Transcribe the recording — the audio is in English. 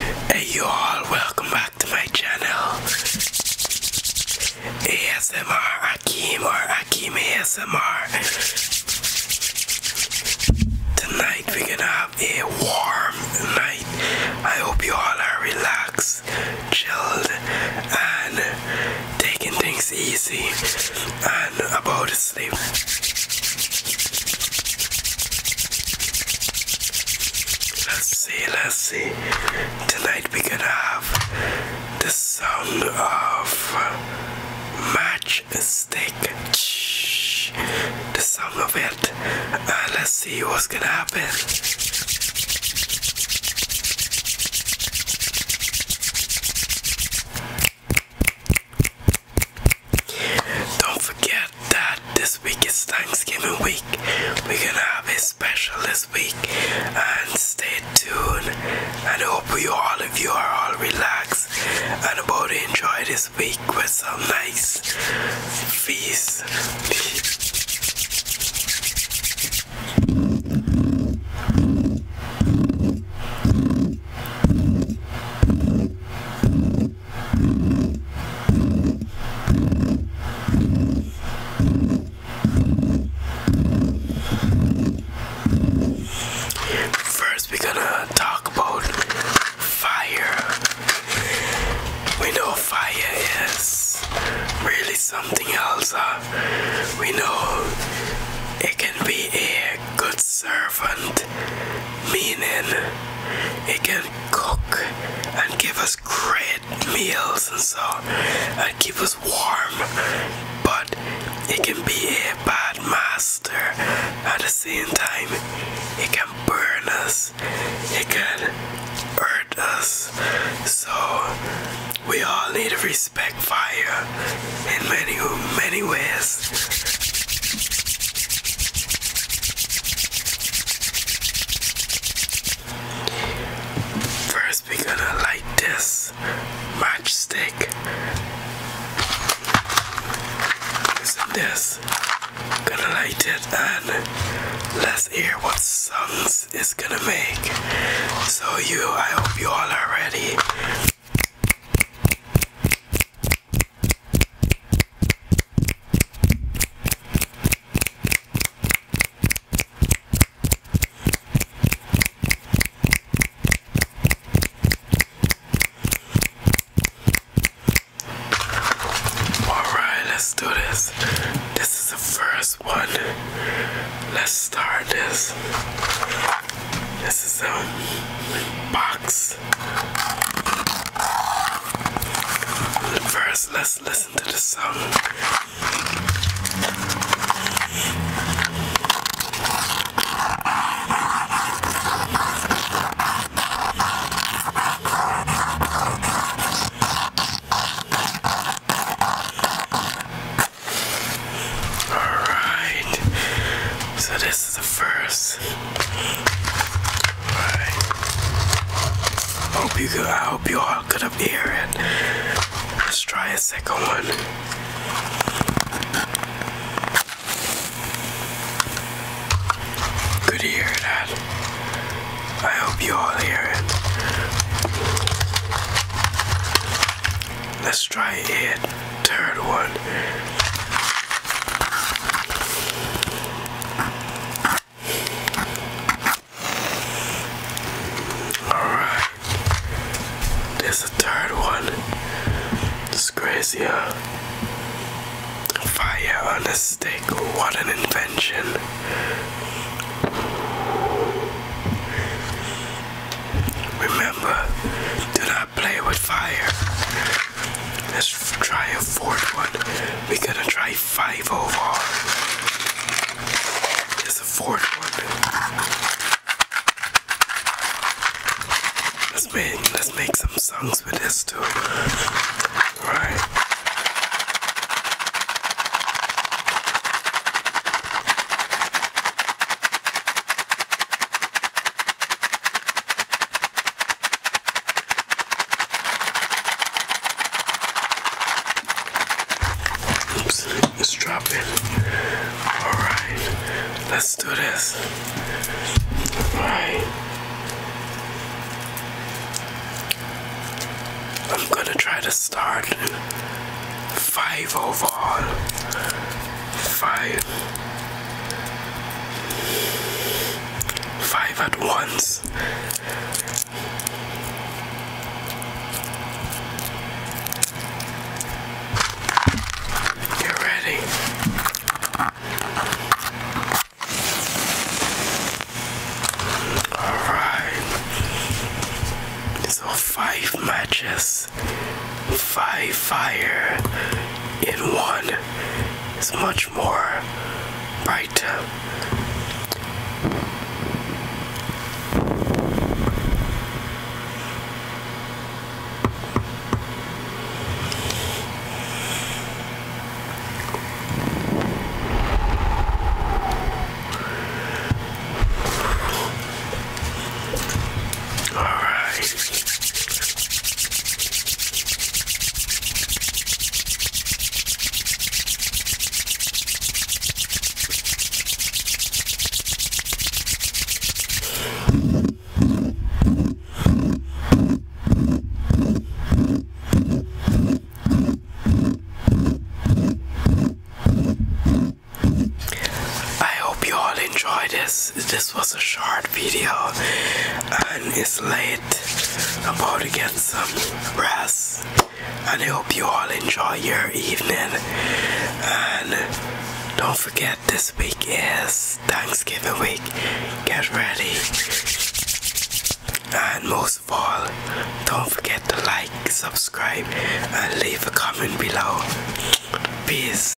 Hey you all, welcome back to my channel. ASMR Akim or Akim ASMR. Tonight we're gonna have a warm night. I hope you all are relaxed, chilled, and taking things easy and about to sleep. Let's see, let's see. Tonight we're gonna have the sound of matchstick. stick. The sound of it. Uh, let's see what's gonna happen. Don't forget that this week is Thanksgiving week. We're gonna have a special this week, and stay tuned. And hope you all of you are all relaxed and about to enjoy this week with some nice feast. First, we're gonna talk about fire. We know fire is really something else. Uh, we know it can be a good servant, meaning it can cook and give us great meals and so and keep us warm but it can be a bad master at the same time it can burn us it can hurt us so we all need to respect fire in many many ways First, we're gonna light this matchstick using this. Gonna light it and let's hear what sounds it's gonna make. So you, I hope you all are ready. Alright, let's do this. This is the first one. Let's start this. This is a box. First, let's listen to the song. All right, so this this is the first. Alright. Hope you I hope you all could up here and let's try a second one. Good to hear that. I hope you all hear it. Let's try it third one. Alright. There's a third one. It's crazy, Fire on a stick. What an invention. Remember, do not play with fire. Let's try a fourth one. We going to try five over. It's a fourth one. Let's make let's make some songs with this too. All right. Oops, it's dropping. Alright, let's do this. Alright. I'm gonna try to start five overall. Five. Five at once. Get ready. Alright. So five matches. Five fire in one it's much more bright. All right. I hope you all enjoy this this was a short video and it's late. I'm about to get some rest and I hope you all enjoy your evening and don't forget this week is Thanksgiving week. Get ready and most of all don't forget to like, subscribe and leave a comment below. Peace.